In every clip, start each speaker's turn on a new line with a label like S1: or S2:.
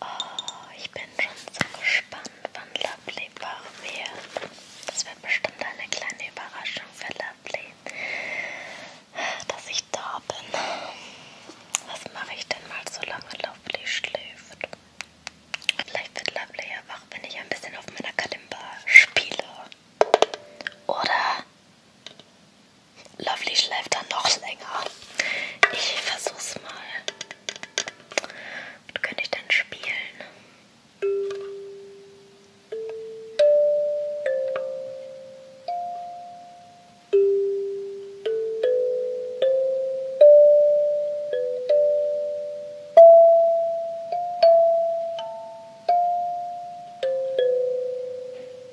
S1: Oh, ich bin schon so gespannt, wann Lovely wach wird. Das wird bestimmt eine kleine Überraschung für Lovely, dass ich da bin. Was mache ich denn mal, solange Lovely schläft? Vielleicht wird Lovely ja wach, wenn ich ein bisschen auf meiner Kalimba spiele. Oder Lovely schleift dann noch länger. Ich versuch's mal. Was könnte ich denn spielen?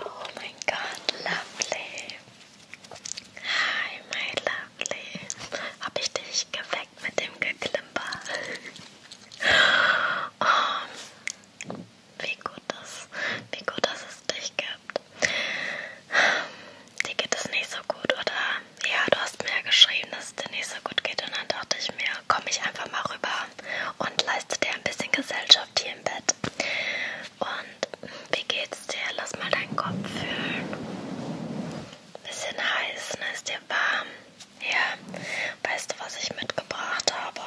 S1: Oh my god, lovely. Hi, my love. Lovely. Habe ich dich geweckt mit dem Geklimper? oh, wie gut das, wie gut, dass es dich gibt. Dir geht es nicht so gut, oder? Ja, du hast mir ja geschrieben, dass es dir nicht so gut geht und dann dachte ich mir, komme ich einfach mal rüber und leiste dir ein bisschen Gesellschaft hier im Bett. Und wie geht's dir? Lass mal deinen Kopf fühlen bisschen heiß, ne? Ist dir warm? Ja. Weißt du, was ich mitgebracht habe?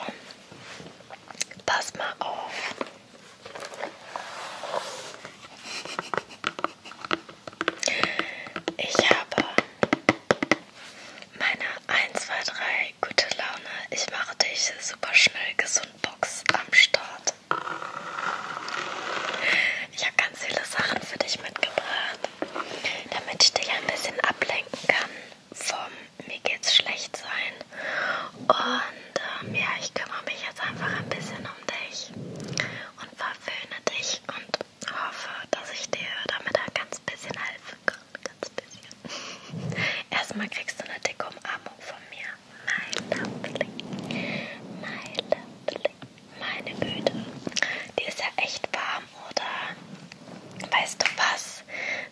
S1: Pass mal auf. Ich habe meine 1, 2, 3 gute Laune. Ich mache dich super schnell gesund Box am Start. Ich habe ganz viele Sachen für dich mitgebracht, damit ich dich ein bisschen ablenken kann vom mir geht's schlecht sein. Und ähm, ja, ich kümmere mich jetzt einfach ein bisschen um dich und verwöhne dich und hoffe, dass ich dir damit ein ganz bisschen helfen kann. Ganz bisschen. Erstmal kriegst du eine dicke Umarmung von mir. My lovely. My lovely. Meine Güte. Die ist ja echt warm, oder? Weißt du was?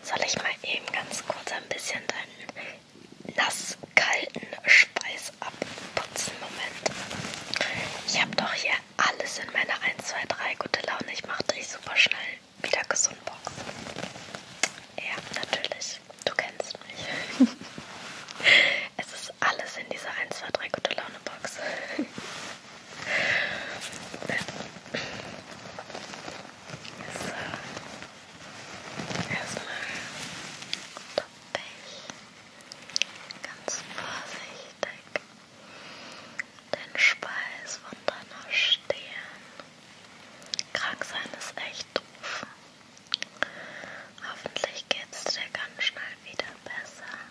S1: Soll ich mal eben ganz kurz ein bisschen deinen nasskalten Speis abputzen? Moment. Ich habe doch hier alles in meiner 1, 2, 3 gute Laune. Ich mache dich super schnell wieder gesund, Box. Ja, natürlich. Du kennst mich. Es ist alles in dieser 1, 2, 3 gute Laune Box. so. Erstmal toppe ich ganz vorsichtig den Speis von deiner Stirn. Krank sein ist echt doof. Hoffentlich geht's dir ganz schnell wieder besser.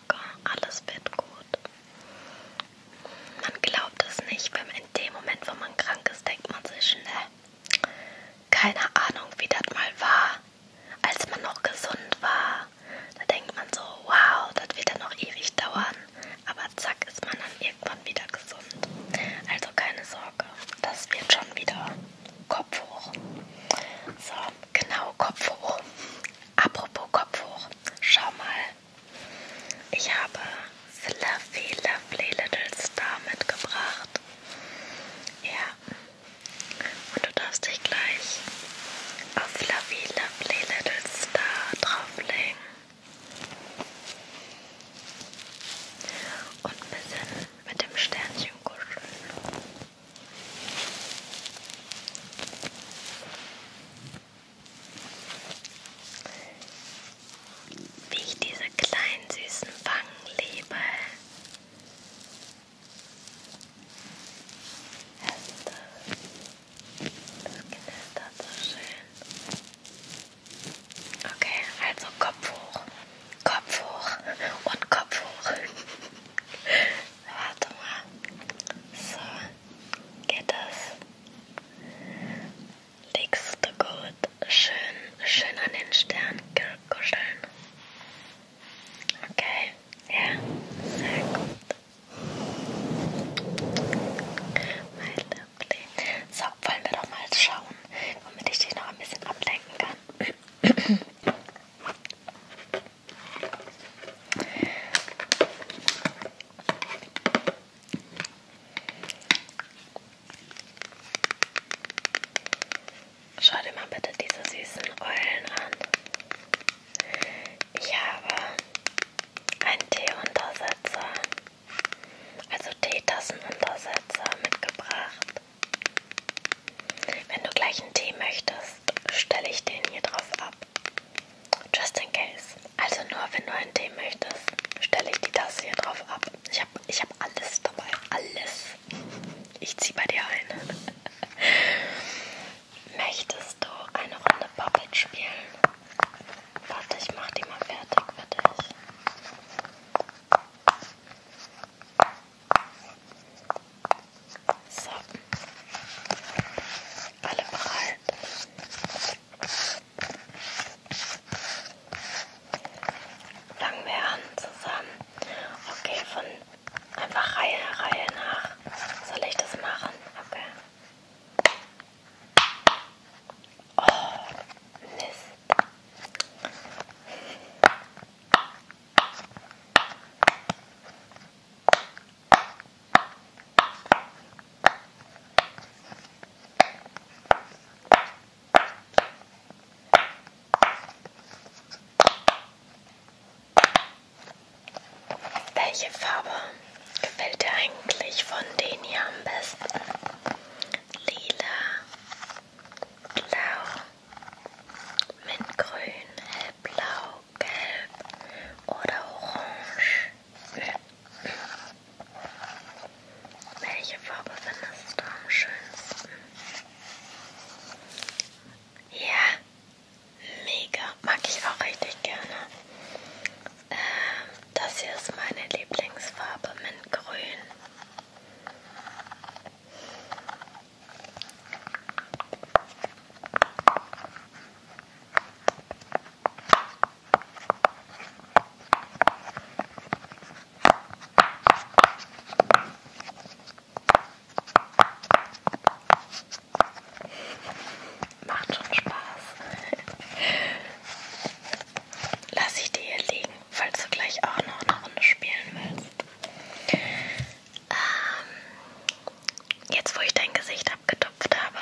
S1: Sorge, alles wird gut. Man glaubt es nicht, wenn man in dem Moment, wo man krank ist, denkt man sich, ne? Keine Ahnung, wie das mal war, als man noch gesund war. Da denkt man so, wow, das wird ja noch ewig dauern. Aber zack, ist man dann irgendwann wieder gesund. Also keine Sorge, das wird schon wieder Kopf hoch. So, Genau, Kopf hoch. Apropos Kopf hoch. Schau mal. Ich habe Fluffy Lovely Little Star mitgebracht. Ja. Und du darfst dich gleich auf Fluffy Lovely Little Star drauflegen. Und ein bisschen mit dem Sternchen kuscheln. Wie ich diese kleinen süßen Wangen liebe. Hörst du das? Das knistert so schön. Okay, also Kopf hoch. Kopf hoch und Kopf hoch. Warte mal. So, geht das? Liegst du gut? Schön, schön an den Stern kuscheln. Okay, ja, sehr gut. Mein Liebling. So, wollen wir doch mal schauen, womit ich dich noch ein bisschen ablenken kann. Schau dir mal bitte diese süßen Eulen an. Ich habe einen Teeuntersetzer, also Teetassenuntersetzer mitgebracht. Wenn du gleich einen Tee möchtest, hast, stelle ich den hier drauf ab. Just in case. Also nur wenn du einen Tee möchtest, stelle ich die Tasse hier drauf ab. Ich habe ich hab alles dabei. Alles. Ich ziehe bei dir ein. Möchtest du eine Runde Puppet spielen? Warte, ich mach die mal fertig für dich. So. Alle bereit. Fangen wir an zusammen. Okay, von einfach Reihe, Reihe nach. Soll ich das machen? Okay. Oh, Mist. Welche Farbe gefällt dir eigentlich von denen hier am besten? Lila, blau mit grün, hellblau, gelb oder orange. Welche Farbe findest du am schönsten? Ja, mega. Mag ich auch richtig gerne. Ähm, das hier ist meine Lieblingsfarbe mit grün. Macht schon Spaß. Lass ich dir hier liegen, falls du gleich auch noch eine Runde spielen willst. Ähm, jetzt, wo ich dein Gesicht abgetupft habe,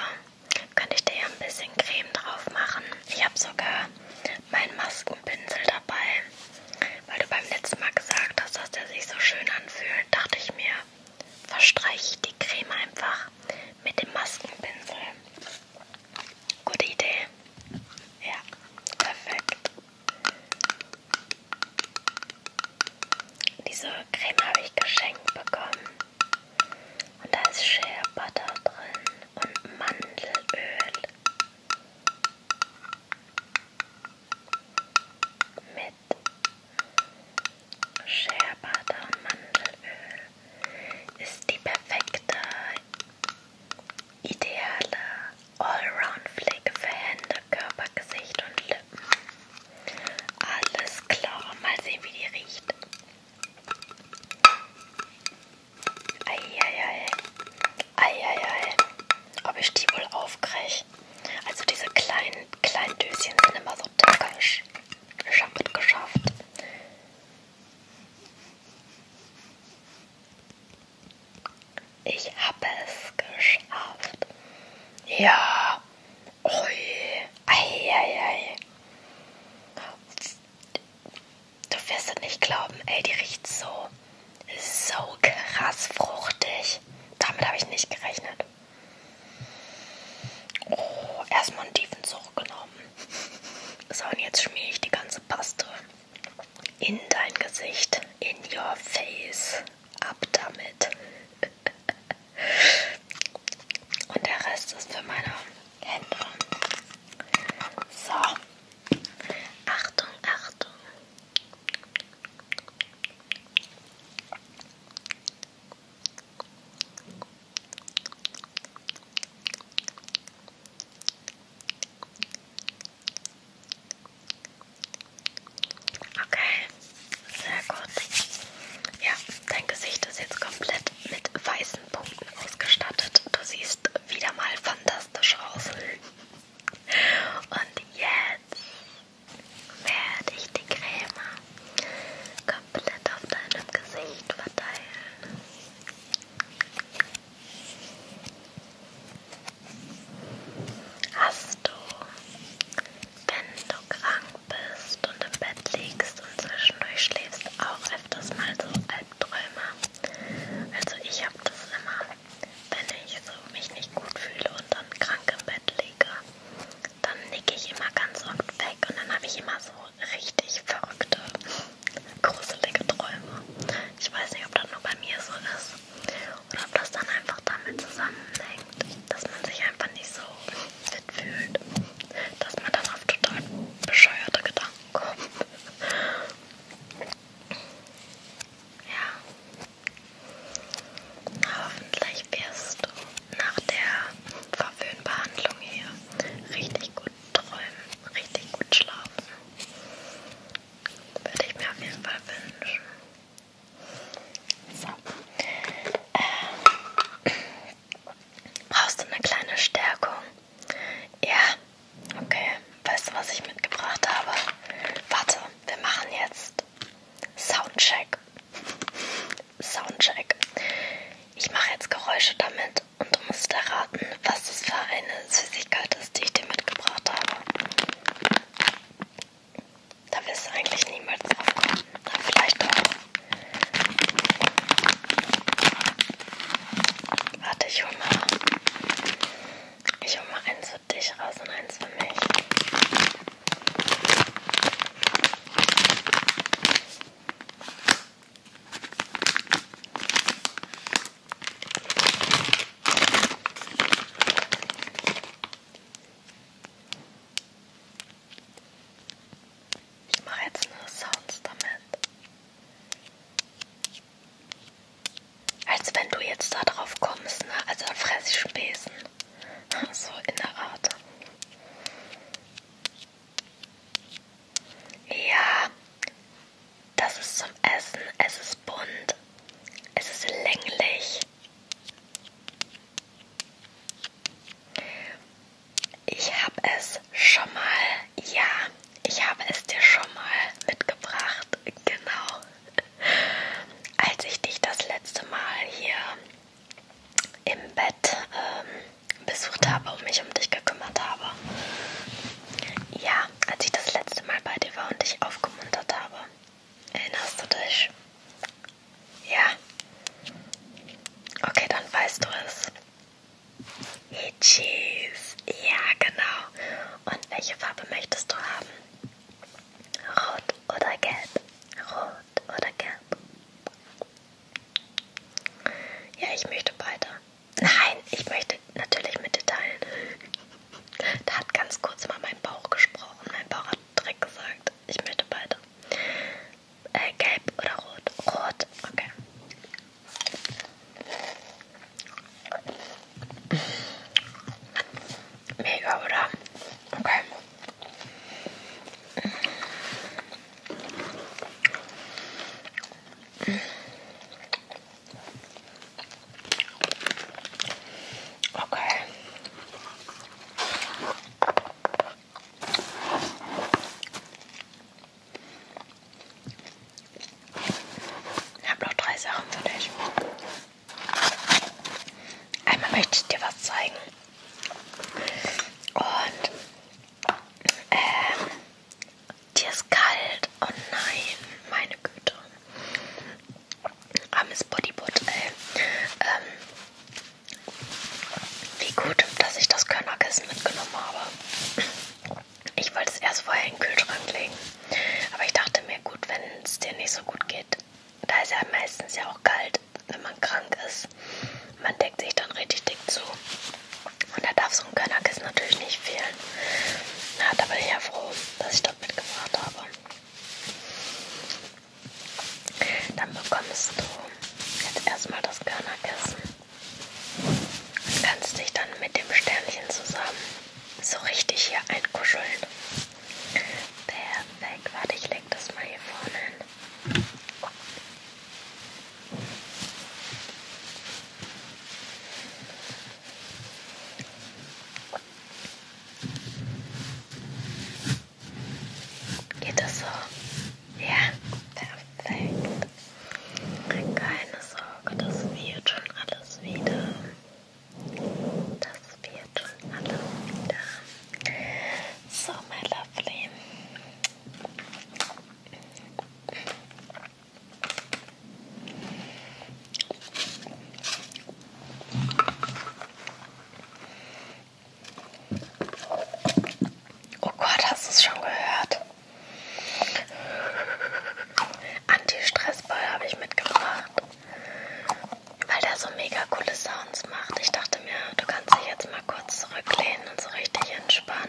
S1: könnte ich dir ja ein bisschen Creme drauf machen. Ich habe sogar meinen Maskenpinsel dabei, weil du beim letzten Mal gesagt hast, dass der sich so schön anfühlt. Dachte ich mir, verstreiche ich die Creme einfach mit dem Maskenpinsel. Gute Idee. Ja, perfekt. Diese Creme habe ich geschenkt bekommen. Und da ist Shea Butter drin und Mandelöl. Mit Shea Butter und Mandelöl ist die perfekte, ideale Allround-Pflege für Hände, Körper, Gesicht und Lippen. Alles klar, mal sehen, wie die riecht. Eieiei. Eieiei. Ob ich die wohl aufkriege? Also diese kleinen, kleinen Döschen sind immer so tückisch. Ich habe es geschafft. Ich habe es geschafft. Ja. Ui. Ei, ei, ei. Du wirst es nicht glauben, ey, die riecht so, so krass fruchtig. Damit habe ich nicht gerechnet. Oh, erstmal einen tiefen Zug genommen. So, und jetzt schmier ich die ganze Paste in dein Gesicht, in your face ab damit. Und der Rest ist für meine Hände. So. Achtung, Achtung. Okay, sehr gut. Ja, dein Gesicht ist jetzt komplett mit weißen Punkten ausgestattet. Du siehst wieder mal fantastisch aus. Und jetzt werde ich die Creme komplett auf deinem Gesicht verteilen hast du, wenn du krank bist und im Bett liegst und zwischendurch schläfst, auch öfters mal so Albträume? Also ich habe das immer, wenn ich so mich nicht gut fühle und dann krank im Bett liege, dann nicke ich immer ganz oft weg und dann habe ich immer so richtig verrückte, gruselige Träume. Ich weiß nicht, ob das nur bei mir so ist. Oder ob das dann einfach damit zusammenhängt, dass man sich einfach nicht so fit fühlt, dass man dann auf total bescheuerte Gedanken kommt. Ja. Hoffentlich wirst du nach der Verwöhnbehandlung hier richtig gut träumen, richtig gut schlafen. Würde ich mir auf jeden Fall wünschen. So. Ähm. Brauchst du eine kleine Stärkung? Ja. Okay. Weißt du, was ich mitgebracht habe? Warte, wir machen jetzt Soundcheck. Soundcheck. Ich mache jetzt Geräusche damit und du musst erraten, was das für eine Süßigkeit ist, die ich dir mitgebracht habe. Da will es eigentlich niemals aufkommen. Aber vielleicht doch. Warte, ich hole mal. Ich hole mal eins für dich raus und eins für mich. Ich mache jetzt nur Sounds damit. Als wenn du jetzt da drauf kommst, ne? Also da fresse ich einen Besen. So in der Art. Ja, das ist zum Essen. Es ist bunt. Es ist länglich. Ich habe es schon mal, ja, ich habe es dir schon mal mitgebracht, genau. Als ich dich das letzte Mal hier im Bett ähm, besucht habe und mich um dich gekümmert habe. Ja, als ich das letzte Mal bei dir war und dich aufgemuntert habe. Erinnerst du dich? Ja. Okay, dann weißt du es. Hey, cheese. Ja, genau. Und welche Farbe möchtest du haben? Rot oder gelb? Rot oder gelb? Ja, ich möchte beide. Nein, ich möchte natürlich mit dir teilen. Da hat ganz kurz mal mein Bauch gesprochen. Mein Bauch hat direkt gesagt, ich möchte beide. Äh, gelb oder rot? Rot, okay. Mega, oder? Okay. Okay. Ich habe noch drei Sachen für dich. Einmal möchte ich dir was zeigen. Und ähm, dir ist kalt. Oh nein, meine Güte armes Bodybutt, ey. Ähm, wie gut, dass ich das Körnerkissen mitgenommen habe. Ich wollte es erst vorher in den Kühlschrank legen. Aber ich dachte mir, gut, wenn es dir nicht so gut geht, da ist ja meistens ja auch kalt, wenn man krank ist. Man deckt sich dann richtig dick zu. Und da darf so ein Körnerkissen natürlich nicht fehlen. Na, da bin ich ja froh, dass ich das mitgebracht habe. Dann bekommst du jetzt erstmal das Körnerkissen und kannst dich dann mit dem Sternchen zusammen so richtig hier einkuscheln. Perfekt, warte, ich leg das mal hier vorne hin. Geht das so? Ja, perfekt. Keine Sorge, das wird schon alles wieder. Das wird schon alles wieder. So, my lovely. Oh Gott, hast du es schon gehört? Anti-Stressball habe ich mitgebracht, weil der so mega coole Sounds macht. Ich dachte mir, du kannst dich jetzt mal kurz zurücklehnen und so richtig entspannen.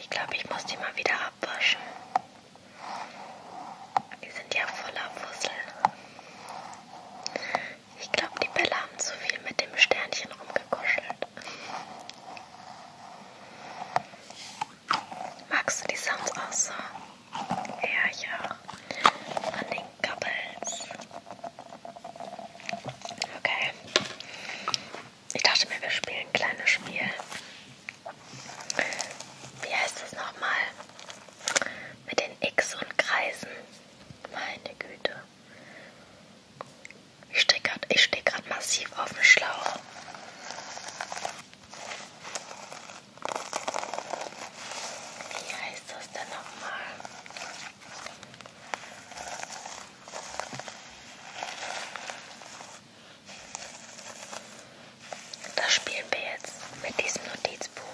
S1: Ich glaube, ich muss die mal wieder abwaschen. Die sind ja voller Fussel. Ich glaube, die Bälle haben zu viel mit dem Sternchen rumgekuschelt. Magst du die Sounds auch so? Ja, ich auch. Von den Couples. Okay. Ich dachte mir, wir spielen ein kleines Spiel. Wie heißt das nochmal? Mit den X und Kreisen. Meine Güte. Ich stehe gerade steh massiv auf dem Schlauch. Wie heißt das denn nochmal? Das spielen wir jetzt mit diesem Notizbuch.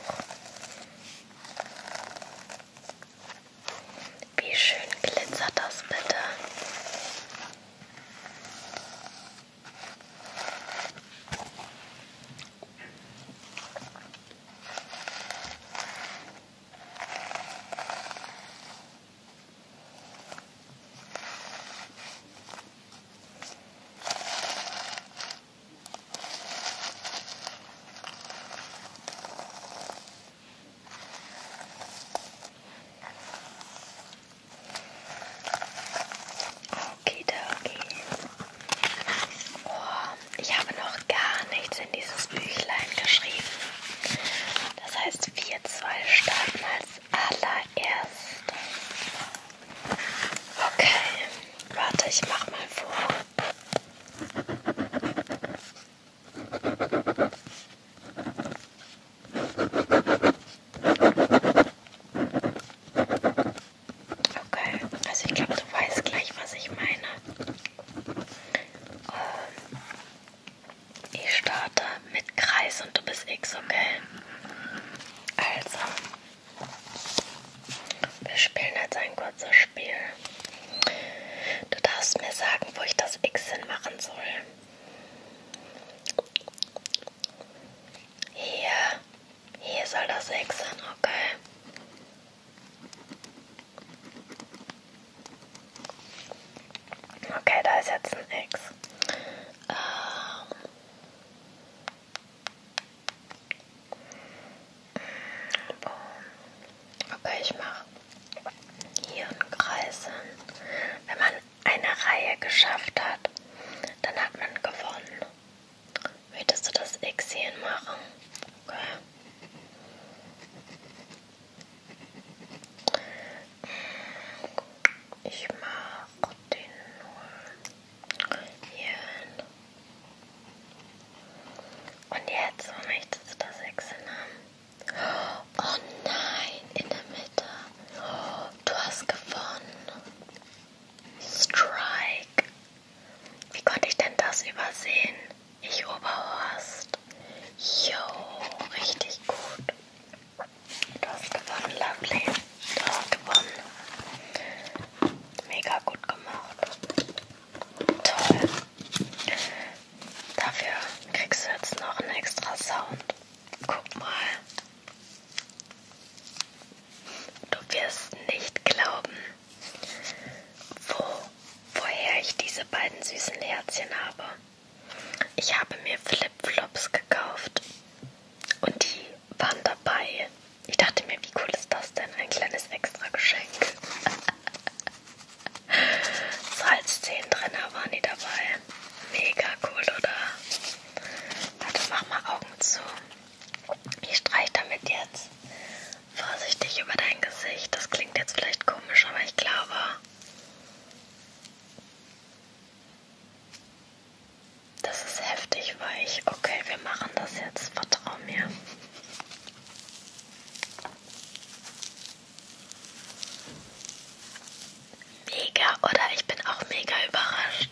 S1: Wie schön glitzert das bitte. Okay, okay. Oh, ich habe noch gar nichts in dieses Büchlein geschrieben. Das heißt, wir zwei starten als allererstes. Okay, warte, ich mach mal vor. Okay, also ich glaube, du weißt gleich, was ich meine. Ähm, ich starte mit Kreis und du bist X, okay? Also, wir spielen jetzt ein kurzes Spiel. Du darfst mir sagen, wo ich das X hin machen soll. Hier, hier soll das X hin, okay. Okay, da ist jetzt ein X. Ähm Oh. Okay, ich mache hier einen Kreis hin. Wenn man eine Reihe geschafft hat, dann hat man gewonnen. Möchtest du das X hier machen? Okay. Ich mache den nur hier hin. Und jetzt möchtest du das X hin haben? Oh nein, in der Mitte. Oh, du hast gewonnen. Strike. Wie konnte ich denn das übersehen? Ich Oberhorst. Jo, richtig gut. Du hast gewonnen, Lovely. Du hast gewonnen. Mega gut gemacht. Toll. Dafür kriegst du jetzt noch einen extra Sound. Guck mal. Du wirst nicht glauben, wo, woher ich diese beiden süßen Herzchen habe. Ich habe mir Flipflops gekauft und die waren dabei. Ich dachte mir, wie cool ist das denn? Ein kleines Extra-Geschenk. Salzzehen drin waren die dabei. Mega cool, oder? Warte, mach mal Augen zu. Ich streich damit jetzt vorsichtig über dein Gesicht. Das klingt jetzt vielleicht komisch, aber ich glaube. Das ist heftig weich. Okay, wir machen das jetzt. Vertrau mir. Mega, oder? Ich bin auch mega überrascht.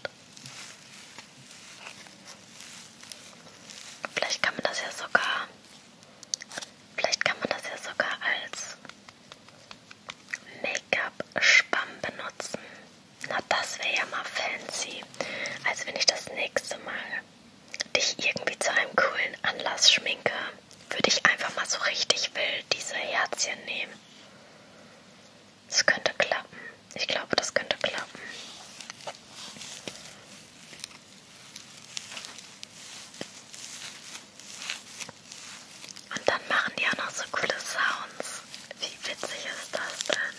S1: Vielleicht kann man das ja sogar. Vielleicht kann man das ja sogar als Make-up-Spamm benutzen. Na, das wäre ja mal fancy. Also wenn ich das nächste Mal dich irgendwie zu einem coolen Anlass schminke, würde ich einfach mal so richtig wild diese Herzchen nehmen. Das könnte klappen. Ich glaube, das könnte klappen. Und dann machen die auch noch so coole Sounds. Wie witzig ist das denn?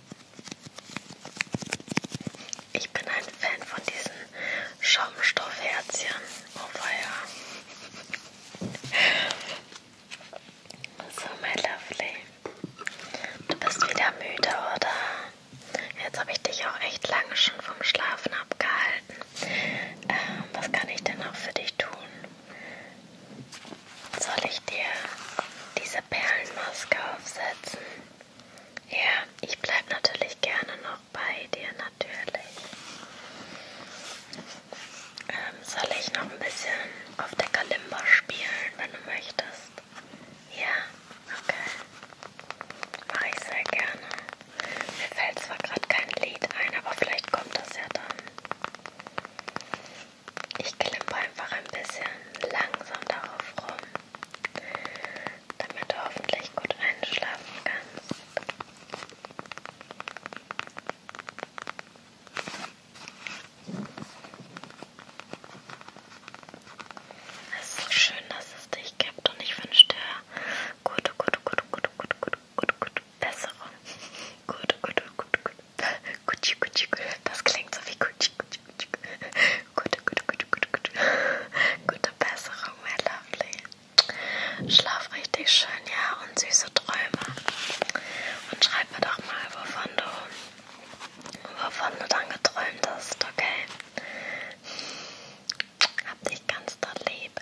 S1: Ich bin ein Fan von diesen Schaumstoffherzchen. Oh weia. So, my lovely. Du bist wieder müde, oder? Jetzt habe ich dich auch echt lange schon vom Schlafen abgehalten. Ähm, was kann ich denn noch für dich tun? Soll ich dir diese Perlenmaske aufsetzen? Ja, ich bleibe natürlich gerne noch bei dir, natürlich. Ähm, soll ich noch ein bisschen auf der Kalimba spielen, wenn du möchtest? Ja, okay. Mache ich sehr gerne. Mir fällt zwar gerade kein Lied ein, aber vielleicht kommt das ja dann. Ich klimper einfach ein bisschen langsam darauf rum damit du hoffentlich gut einschlafen kannst. Es ist schön, dass es dich gibt und ich wünsche dir gute, gute, gute, gute, gute, gute, gute, gute Besserung. Gute, gute, gute, gute. Gucci, Gucci, Das klingt so wie Gucci, Gucci, Gucci. Gute, gute, gute, gute, gute. Gute Besserung, my lovely. Schlaf richtig schön, ja, und süße Träume. Und schreib mir doch mal, wovon du, wovon du dann geträumt hast, okay? Hab dich ganz doll lieb.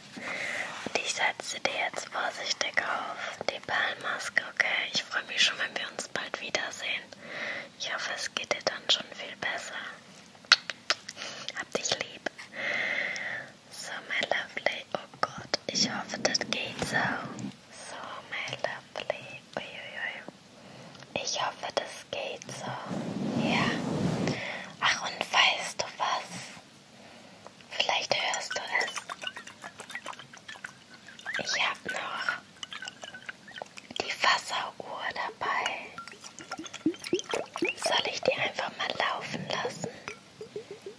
S1: Und ich setze dir jetzt vorsichtig auf die Perlmaske, okay? Ich freue mich schon, wenn wir uns bald wiedersehen. Ich hoffe, es geht dir dann schon viel besser. Hab dich lieb. So, my lovely. Oh Gott, ich hoffe, das geht so. So, my lovely. Uiuiui. Ich hoffe, das geht so. Ja. Ach, und weißt du was? Vielleicht hörst du es. Ich habe noch die Wasseruhr dabei. Soll ich die einfach mal laufen lassen?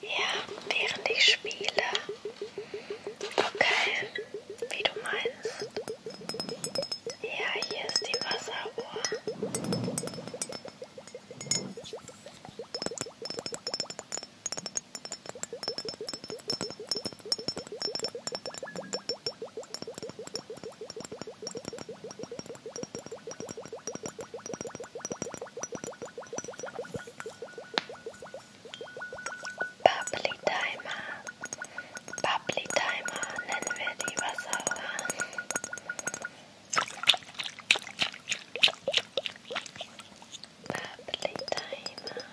S1: Ja, während ich spiele. Okay, wie du meinst. Ja, hier ist die Wasseruhr. Bubbly Timer. Bubbly Timer nennen wir die Wasserrohr. Bubbly Timer.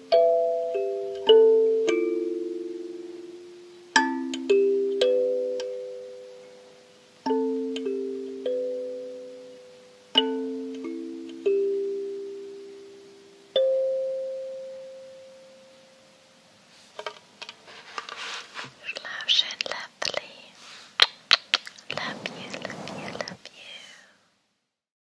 S1: Love lovely. Love you, love you, love you.